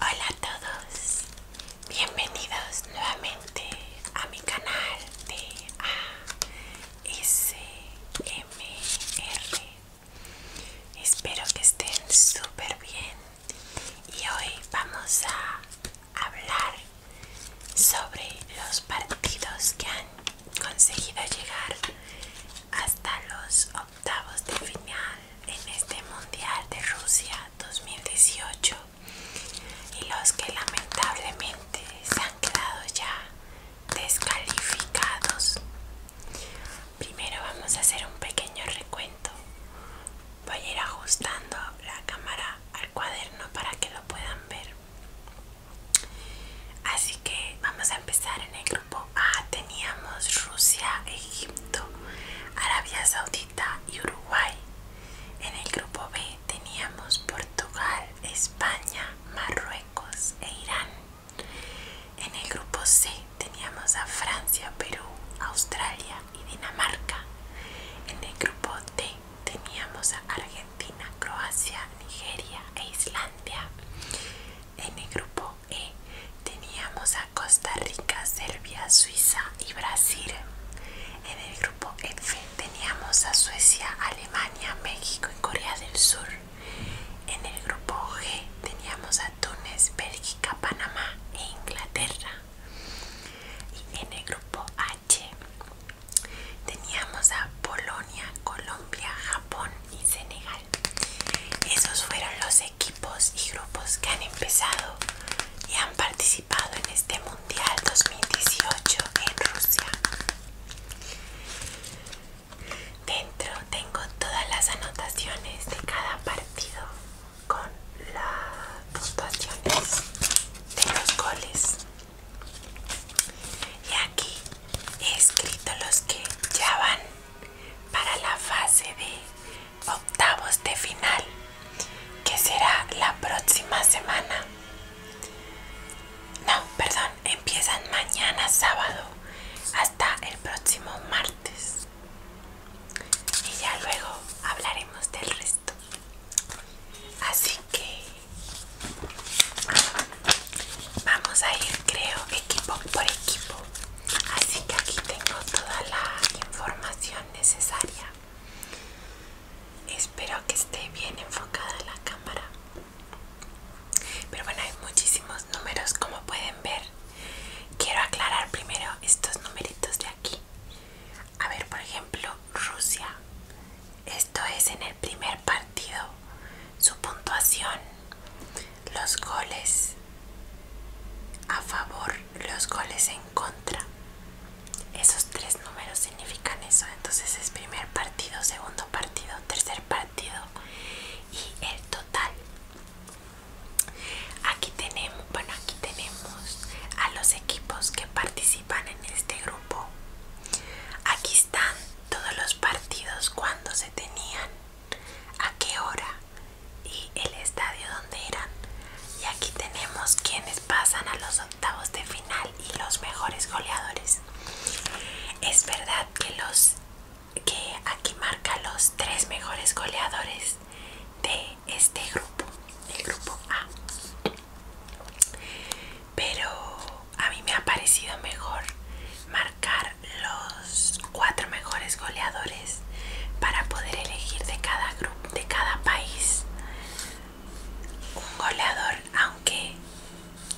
Hola a todos, bienvenidos nuevamente a mi canal de ASMR. Espero que estén súper bien y hoy vamos a hablar sobre los partidos que han conseguido llegar hasta los octavos de final en este Mundial de Rusia 2018 y los que lamentablemente se han quedado ya descalificados. Primero vamos a hacer un pequeño recuento. Voy a ir ajustando la cámara al cuaderno para que lo puedan ver. Así que vamos a empezar en el grupo A. Teníamos Rusia, Egipto, Arabia Saudita y Uruguay. En el grupo B teníamos Portugal, España, Marruecos e Irán. En el grupo C teníamos a Francia, Perú, Australia y Dinamarca. En el grupo D teníamos a Argentina, Croacia, Nigeria e Islandia. En el grupo E teníamos a Costa Rica, Serbia, Suiza y Brasil. En el grupo F teníamos a Suecia, Alemania, México y Corea del Sur. En el grupo G teníamos a Túnez, Bélgica, Panamá e Inglaterra. Y en el grupo A Teníamos a Polonia, Colombia, Japón y Senegal. Esos fueron los equipos y grupos que han empezado y han participado en este Mundial 2018 en Rusia. Dentro tengo todas las anotaciones de cada partido con las puntuaciones de los goles y aquí he escrito los que ya van para la fase de octavos de final, que será la próxima semana. No, perdón, empiezan mañana sábado hasta el próximo martes. Y ya luego hablaremos del resto. Así que Vamos a ir, creo, equipo por equipo. Así que aquí tengo toda la información necesaria. Espero que esté bien enfocada la cámara. Pero bueno, hay muchísimos números como pueden ver. Quiero aclarar primero estos numeritos de aquí. A ver, por ejemplo, Rusia. Esto es en el primer partido. Su puntuación. Los goles a favor, los goles en contra. Esos tres números significan eso. Entonces es primer partido, segundo partido, tercer partido y el total. Aquí tenemos, bueno, aquí tenemos a los equipos que participan en este grupo. Aquí están todos los partidos cuando se tenían, a qué hora y el estadio donde eran. Y aquí tenemos quienes pasan a los octavos de final y los mejores goleadores. Es verdad que los que aquí marca los tres mejores goleadores de este grupo, el grupo A. Pero a mí me ha parecido mejor marcar los cuatro mejores goleadores para poder elegir de cada grupo, de cada país un goleador, aunque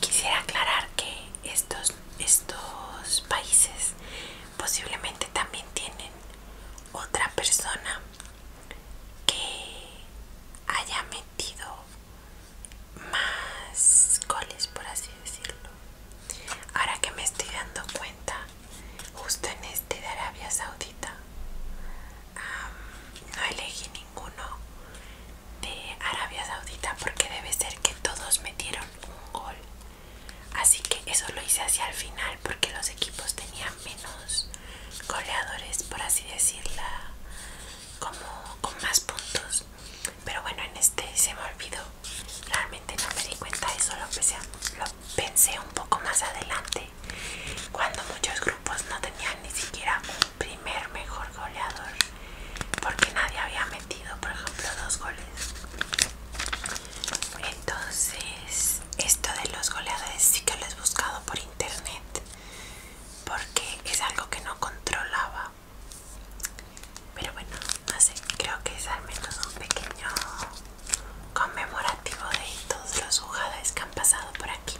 quisiera aclarar que estos, estos países posiblemente también tienen otra persona que haya metido más goles por así decirlo ahora que me estoy dando cuenta justo en este de Arabia Saudita no elegí ninguno de Arabia Saudita porque debe ser que todos metieron un gol así que eso lo hice hacia el final porque los equipos tenían menos goleadores por así decirla como con más puntos pero bueno en este se me olvidó realmente no me di cuenta eso lo pensé, lo pensé un poco más adelante cuando muchos grupos no tenían ni siquiera un primer mejor goleador porque nadie había metido por ejemplo dos goles entonces esto de los goleadores sí que lo he buscado por internet porque es algo que no controlaba pero bueno no sé creo que es al menos un pequeño conmemorativo de todos los jugadores que han pasado por aquí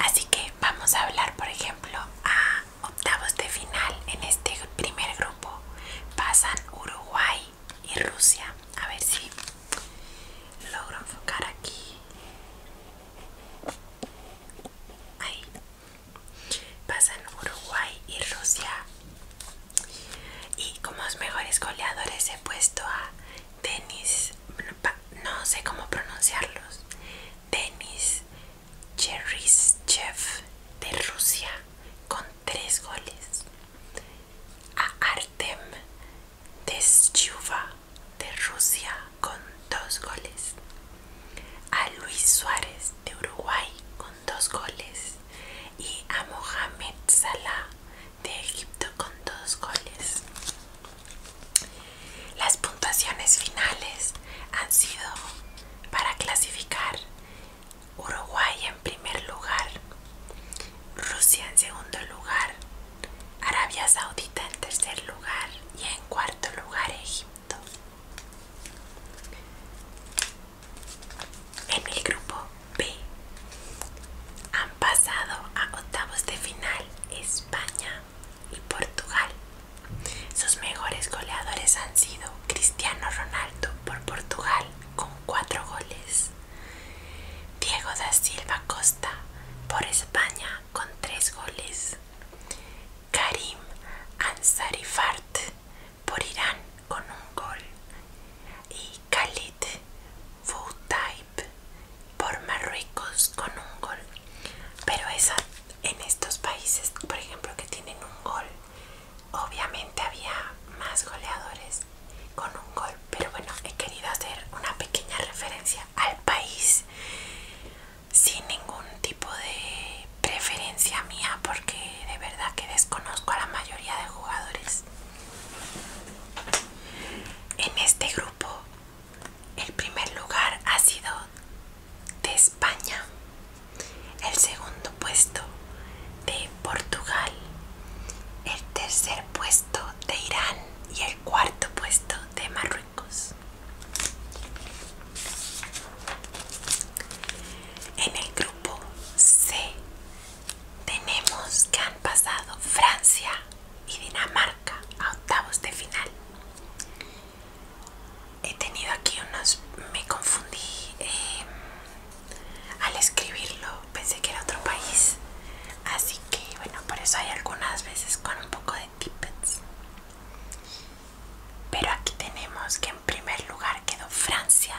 así que vamos a hablar por ejemplo a octavos de final en este primer grupo pasan Uruguay y Rusia a ver si logro enfocar aquí Ahí. Pasan Uruguay y Rusia. Y como los mejores goleadores he puesto a Denis, no sé cómo pronunciarlos, Denis Cheryshev de Rusia con tres goles. A Artem Deschuva de Rusia con dos goles. A Luis Suárez de Uruguay con dos goles. Y a Mohamed Salah de Egipto con dos goles. Las puntuaciones finales han sido para clasificar Uruguay en primer lugar, Rusia en segundo lugar, Arabia Saudita en tercer lugar y en cuarto lugar Egipto. En el grupo B han pasado a octavos de final España y Portugal. Sus mejores goleadores han sido Cristiano Ronaldo por Portugal con cuatro goles, Diego da Silva Costa por España con tres goles. Karim Ansarifart por Irán con un gol. Y Khalid Foudaib por Marruecos con un gol. Pero esa, en estos países, por ejemplo, que tienen un gol, obviamente había más goleadores con un gol. Pero bueno, he querido hacer una pequeña referencia al país sin ningún tipo de preferencia mía porque de verdad que desconozco a la mayoría de jugadores en este grupo el primer lugar ha sido de España el segundo puesto de Portugal el tercer puesto de Irán y el cuarto puesto de Marruecos. En el grupo C tenemos que han pasado Francia y Dinamarca a octavos de final. He tenido aquí unos... me confundí eh, al escribirlo, pensé que era otro país, así que bueno, por eso hay algunas veces con un poco de tippets. Pero aquí tenemos que en primer lugar quedó Francia,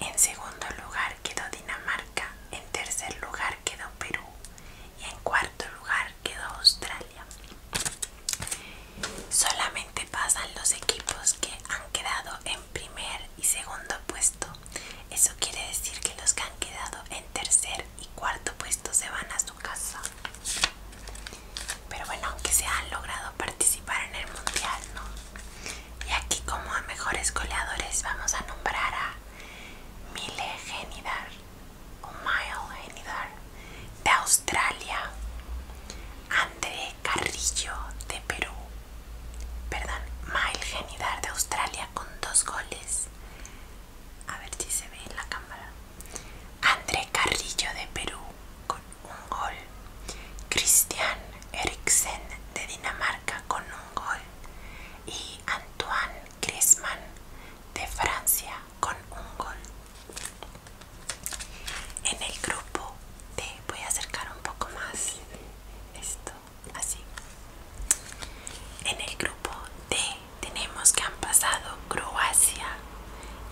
en segundo lugar quedó Dinamarca, en tercer lugar quedó Perú y en cuarto lugar quedó Australia. Solamente pasan los equipos que han quedado en primer y segundo puesto. Eso quiere decir que los que han quedado en tercer y cuarto puesto se van a su casa. Pero bueno, aunque se han logrado participar en el mundial, ¿no? Y aquí como a mejores goleadores vamos a nombrar a Mile Genidar o Mile Genidar de Australia, André Carrillo de Perú, perdón, Mile Genidar de Australia con dos goles, a ver si se ve en la cámara André Carrillo de Perú con un gol Cristian Eriksen de Dinamarca con un gol y Antoine Griezmann de Francia con un gol en el grupo te voy a acercar un poco más esto así. En el grupo D tenemos que han pasado Croacia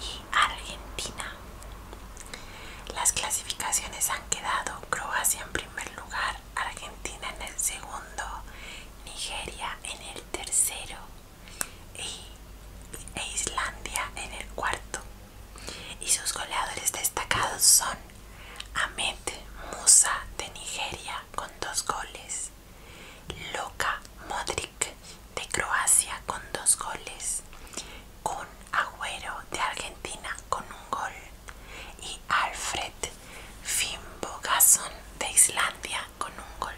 y Argentina. Las clasificaciones han quedado Croacia en primer lugar, Argentina en el segundo, Nigeria en el tercero e Islandia en el cuarto. Y sus goleadores destacados son Ahmed Musa de Nigeria con dos goles, Luka Modric de Croacia con dos goles, Kun Agüero de Argentina con un gol y Alfred Finnbogason de Islandia con un gol.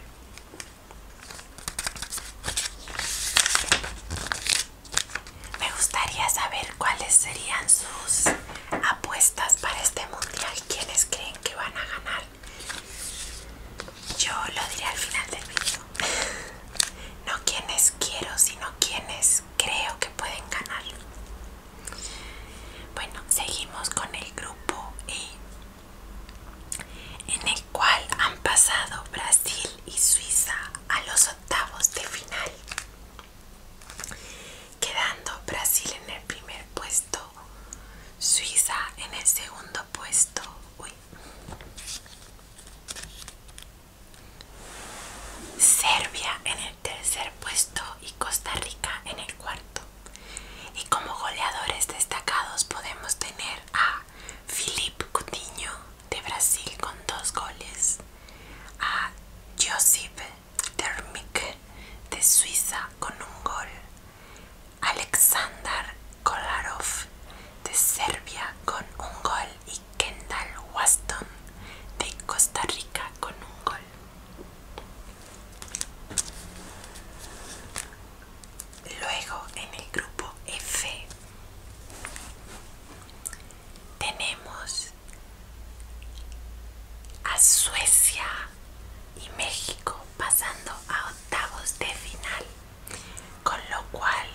Me gustaría saber cuáles serían sus apuestas para este mundial. ¿Quiénes creen que van a ganar? Yo lo diré al final del vídeo no quienes quiero, sino quienes creo que pueden ganar. Bueno, seguimos con el grupo e, en el cual han pasado Brasil y Suiza a los octavos de final quedando Brasil en el primer puesto, Suiza en el segundo puesto. Serbia en el tercer puesto y Costa Rica en el cuarto. Y como goleadores destacados podemos tener a Philippe Coutinho de Brasil con dos goles, a Josip Termike de Suiza con un gol, Alexander Kolarov de Serbia con un gol y Kendall Waston de Costa Rica con un gol. Luego en el grupo F tenemos a Suecia y México pasando a octavos de final, con lo cual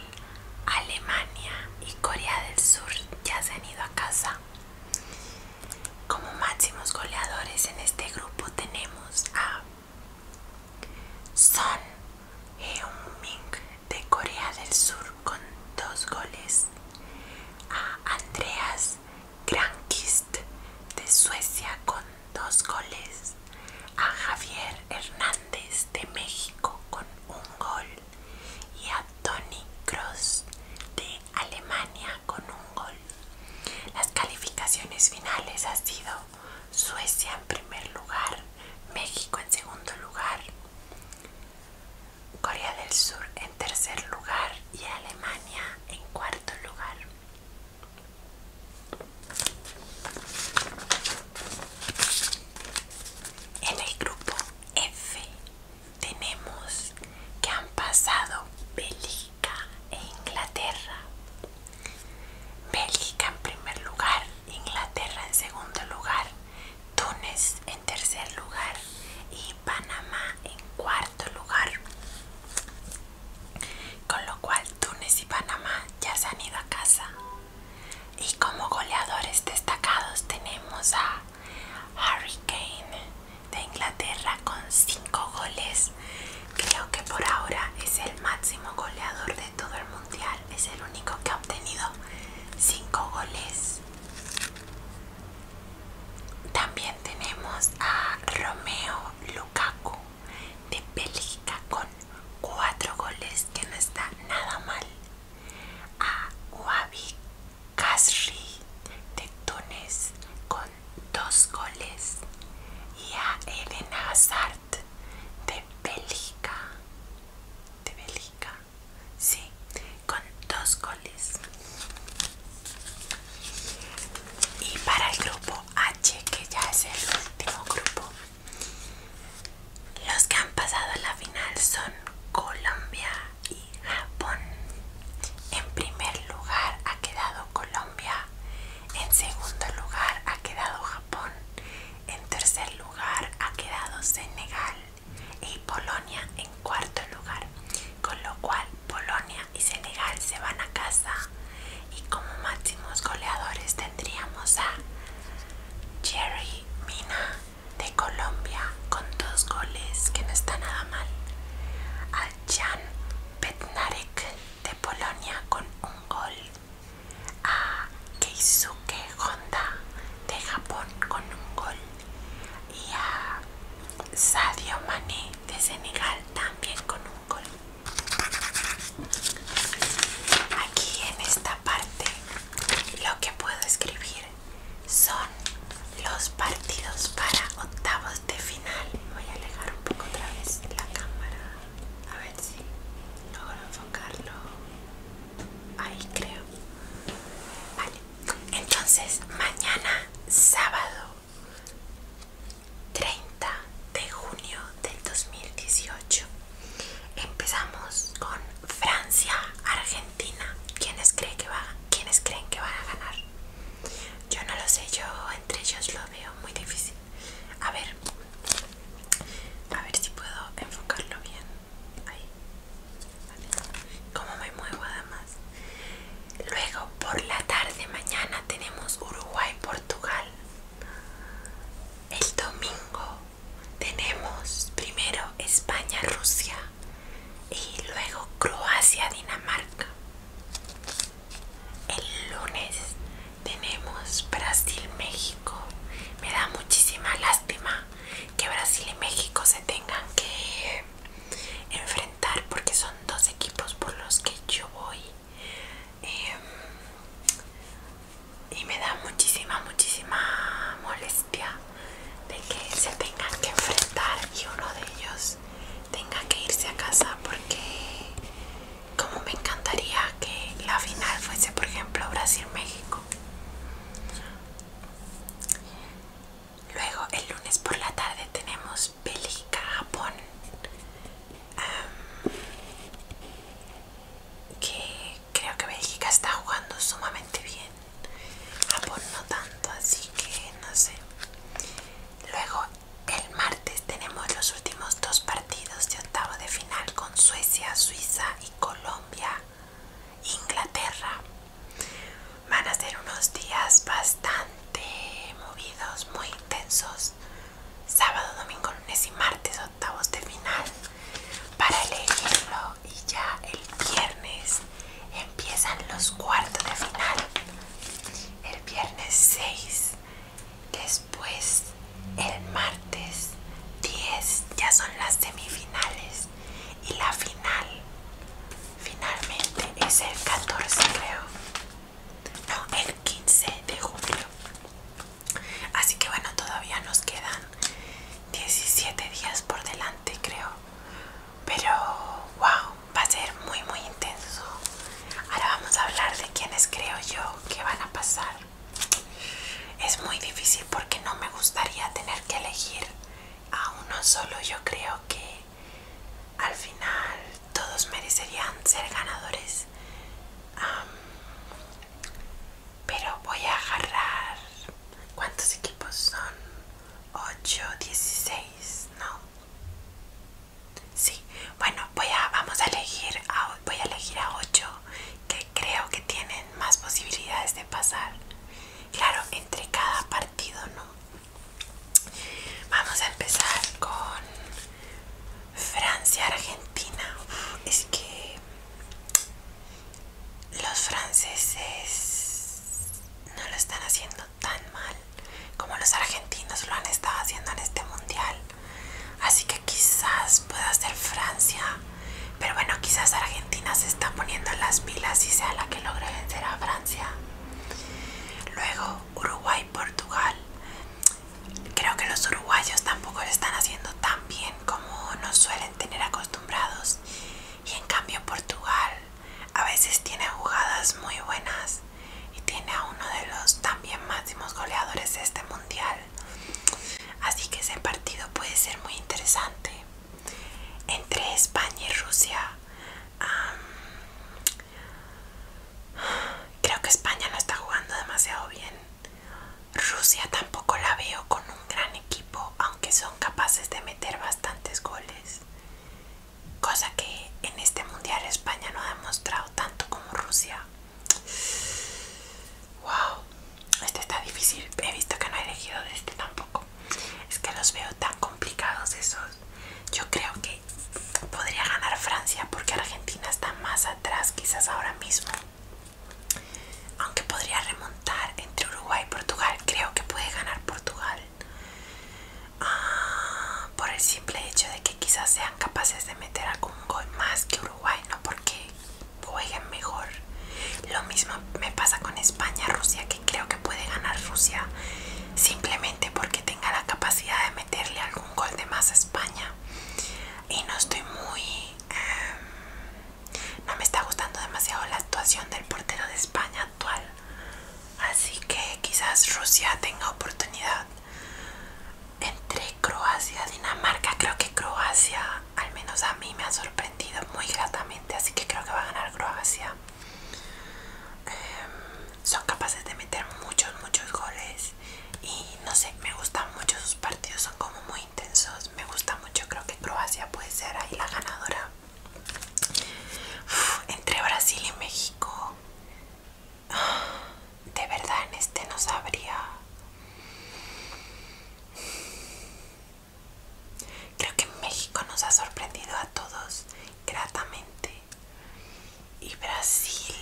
Alemania y Corea del Sur ya se han ido a casa. Como máximos goleadores en este grupo tenemos a Son Heung-min de Corea del Sur con dos goles, a Andreas Granquist de Suecia con dos goles, a Javier Hernández de México con un gol y a Tony Cross de Alemania con un gol. Las calificaciones finales han sido Suecia en primer lugar, México en segundo lugar, Corea del Sur en tercer lugar y Alemania en cuarto lugar. En el grupo F tenemos que han pasado Bélgica e Inglaterra. Bélgica en primer lugar, Inglaterra en segundo lugar, Túnez en tercer lugar y Panamá en cuarto lugar. Con lo cual Túnez y Panamá ya se han ido a casa. Y como goleadores destacados tenemos a Harry Kane de Inglaterra con cinco goles. Creo que por ahora es el máximo goleador de todo el mundial. Es el único que ha obtenido 5 goles. También tenemos a Romeo Lukaku de Bélgica con cuatro goles, que no está nada mal. A Wabi Kasri de Túnez con dos goles. Y a Elena Hazard de Bélgica. De Bélgica, sí, con dos goles. Y para el grupo H, que ya es el último grupo, los que han pasado a la final son Colombia y Japón. En primer lugar ha quedado Colombia, en segundo lugar ha quedado Japón, en tercer lugar ha quedado Senegal y Polonia en cuarto lugar, con lo cual Polonia y Senegal se van a casa y como máximos goleadores tendríamos a Jerry Mina de Colombia con dos goles que no está nada mal, a Jan Petnarek de Polonia con un gol, a Keisuke Honda de Japón con un gol, y a Sadio Mané de Senegal también con un gol. Aquí en esta parte lo que puedo escribir son los partidos para octavos de final. Voy a alejar un poco otra vez la cámara. A ver si logro enfocarlo. Ahí creo. Vale. Entonces, mañana sábado 30 de junio del 2018 empezamos con Francia Argentina ¿Quiénes creen que creen que van a ganar yo no lo sé yo entre ellos lo veo muy difícil a ver a ver si puedo enfocarlo bien ahí como me muevo además Luego por la tarde mañana tenemos Uruguay-Portugal. El domingo tenemos primero España-Rusia y luego Croacia-Dinamarca. El lunes tenemos Brasil-México. Me da muchísima lástima que Brasil y México se tengan que enfrentar porque son dos equipos por los que yo voy em, y me da muchísima muchísima molestia de que se tengan que enfrentar y uno de ellos tenga que irse a casa porque como me encantaría que la final fuese por ejemplo Brasil-México Luego el lunes por la tarde tenemos Bélgica-Japón que creo que Bélgica está jugando sumamente bien Japón no tanto así que no sé luego el martes tenemos los últimos dos partidos de octavo de final con Suecia, Suiza y Colombia Inglaterra Van a ser unos días bastante movidos, muy intensos. Sábado, domingo, lunes y martes, octavos de final para elegirlo. Y ya el viernes empiezan los cuartos de final. El viernes 6, después el martes 10 ya son las semifinales y la final Finalmente es el 14 creo. No, el 15 de julio. Así que bueno, todavía nos quedan 17 días por delante creo. Pero wow, va a ser muy muy intenso. Ahora vamos a hablar de quienes creo yo que van a pasar. Es muy difícil porque no me gustaría tener que elegir a uno solo. Yo creo que al final todos merecerían ser ganadores. pero voy a agarrar... ¿Cuántos equipos son? 8, 16, ¿no? Sí, bueno, voy a, vamos elegir a, voy a elegir a 8 que creo que tienen más posibilidades de pasar. Claro, entre cada partido, ¿no? Vamos a empezar con Francia-Argentina. Es que los franceses no lo están haciendo tan mal como los argentinos lo han estado haciendo en este mundial. Así que quizás pueda ser Francia. Pero bueno, quizás Argentina se está poniendo en las pilas y sea la que logre vencer a Francia. Luego Uruguay, Portugal. Creo que los uruguayos tampoco lo están haciendo tan bien como nos suelen tener acostumbrados. Y en cambio Portugal a veces tiene jugadas muy buenas y tiene a uno de los también máximos goleadores de este mundial. Así que ese partido puede ser muy interesante. Entre España y Rusia Creo que España no está jugando demasiado bien. Rusia tampoco la veo con un gran equipo, aunque son capaces de meter bastantes goles. Cosa que en este mundial España no ha demostrado tanto como Rusia. Wow, este está difícil. He visto que no he elegido de este tampoco. Es que los veo tan complicados esos yo creo que podría ganar Francia porque Argentina está más atrás quizás ahora mismo. Aunque podría remontar entre Uruguay y Portugal, creo que puede ganar Portugal. Ah, por el simple hecho de que quizás sean capaces de meter algún gol más que Uruguay, no porque jueguen mejor. Lo mismo me pasa con España, Rusia, que creo que puede ganar Rusia simplemente porque tenga la capacidad de meterle algún gol de más a España. Y no estoy muy... Em, no me está gustando demasiado la actuación del portero de España actual. Así que quizás Rusia tenga oportunidad. Entre Croacia, y Dinamarca, creo que Croacia al menos a mí me ha sorprendido muy gratamente, así que creo que va a ganar Croacia. Em, son capaces de meter muchos, muchos goles. Y no sé, me gustan mucho sus partidos, son como muy intensos. Me gusta mucho, creo que Croacia puede ser ahí la ganadora. entre Brasil y México, ah, de verdad en este no sabría. Creo que México nos ha sorprendido a todos gratamente. Y Brasil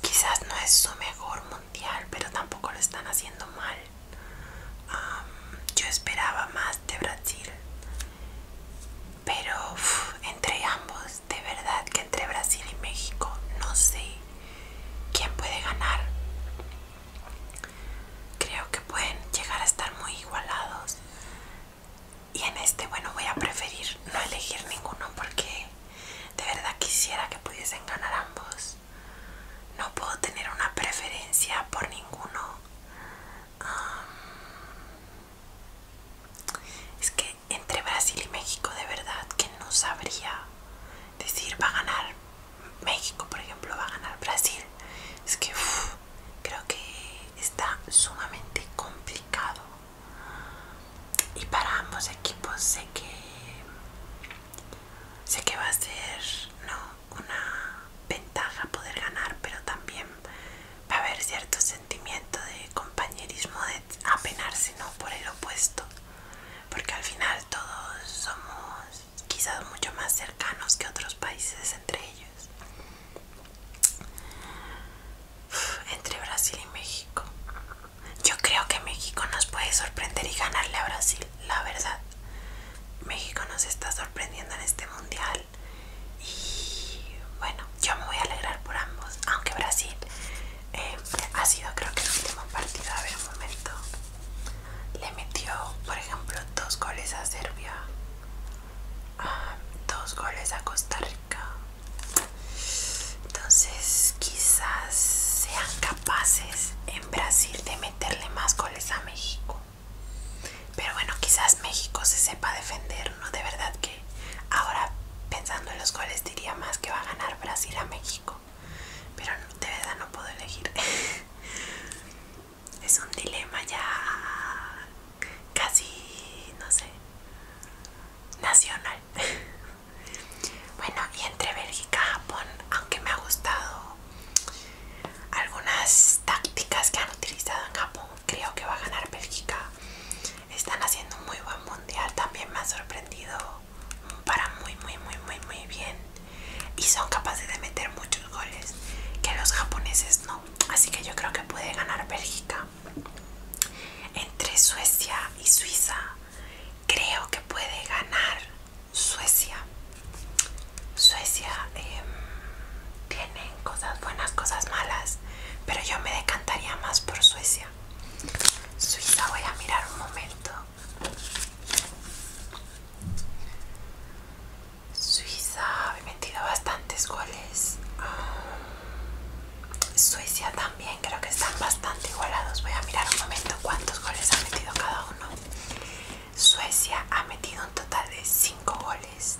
quizás no es su mejor mundial, pero tampoco lo están haciendo mal. yo esperaba más de Brasil. Pero entre ambos, de verdad que entre Brasil y México, no sé quién puede ganar. Creo que pueden llegar a estar muy igualados. Y en este, bueno, voy a preferir no elegir ninguno porque de verdad quisiera que pudiesen ganar ambos. No puedo tener una preferencia por ninguno. es que entre Brasil y México de verdad que no sabría decir va a ganar México, por ejemplo, va a ganar Brasil. Es que creo que está sumamente complicado y para ambos equipos sé que sé que va a ser una ventaja poder ganar pero también va a haber cierto sentimiento de compañerismo de apenarse no por el opuesto porque al final todos somos quizás mucho más cercanos que otros países entre ellos entre Brasil y México. Yo creo que México nos puede sorprender y ganarle a Brasil, la verdad. México nos está sorprendiendo en este mundial. Y bueno, yo me voy a alegrar por ambos. Aunque Brasil eh, ha sido creo que el último partido. A ver un momento. Le metió, por ejemplo, dos goles a Serbia. Ah, dos goles a Costa Rica. Entonces quizás sean capaces en Brasil de meterle más goles a México. Pero bueno, quizás México se sepa defender, ¿no? De verdad que ahora pensando en los goles diría más que va a ganar Brasil a México. Pero de verdad no puedo elegir. es un dilema ya casi, no sé, nacional. bueno, y entre Bélgica y Japón, aunque me ha gustado algunas tácticas que han utilizado en Japón, creo que va a ganar Bélgica. Están haciendo un muy buen mundial, también me ha sorprendido para muy, muy, muy, muy, muy bien. Y son capaces de meter muchos goles que los japoneses no así que yo creo que puede ganar Bélgica. Entre Suecia y Suiza, creo que puede ganar Suecia. Suecia em, tiene cosas buenas, cosas malas, pero yo me decantaría más por Suecia. Suiza, voy a mirar un momento. Suiza ha metido bastantes goles. Ah, Suecia también creo que están bastante igualados. Voy a mirar un momento cuántos goles ha metido cada uno. Suecia ha metido un total de 5 goles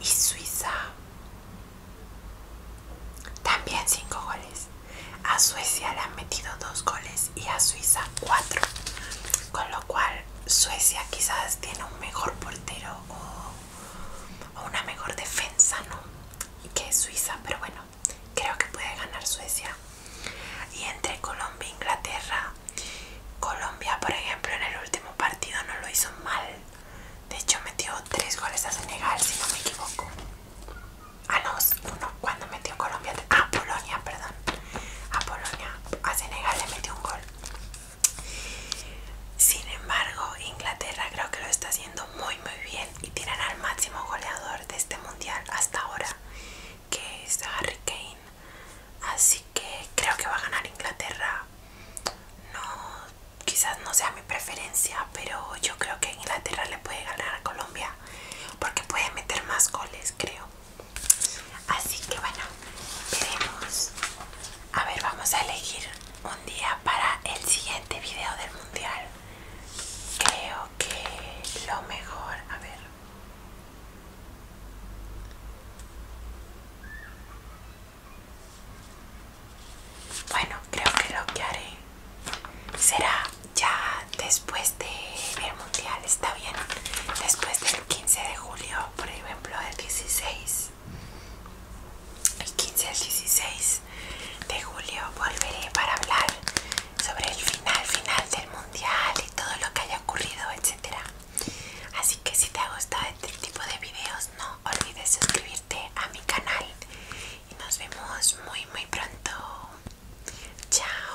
y Suiza también 5 goles. A Suecia le han metido 2 goles y a Suiza 4. Con lo cual Suecia quizás tiene un mejor portero o, una mejor defensa ¿no? que Suiza, pero bueno, creo que puede ganar Suecia. Y entre Colombia e Inglaterra, Colombia, por ejemplo, en el último partido no lo hizo mal. De hecho, metió tres goles a Senegal, si no me equivoco. Ah, no, uno, cuando metió Colombia, a Polonia, perdón. A Polonia, a Senegal le metió un gol. Sin embargo, Inglaterra creo que lo está haciendo muy muy bien y tienen al máximo goleador de este mundial hasta ahora, que es Harry Kane. Así que creo que va a ganar Inglaterra. No, quizás no sea mi preferencia, pero yo creo que Inglaterra le puede ganar a Colombia porque puede meter más goles, creo. Así que bueno, veremos a ver, vamos a elegir un día para el siguiente video del mundial. Creo que lo mejor, a ver. Bueno, creo que lo que haré será ya después del mundial, está bien. Después del 15 de julio, por ejemplo, el 16 el 15 al 16 de julio volveré para hablar sobre el final final del mundial y todo lo que haya ocurrido etcétera así que si te ha gustado este tipo de videos no olvides suscribirte a mi canal y nos vemos muy muy pronto chao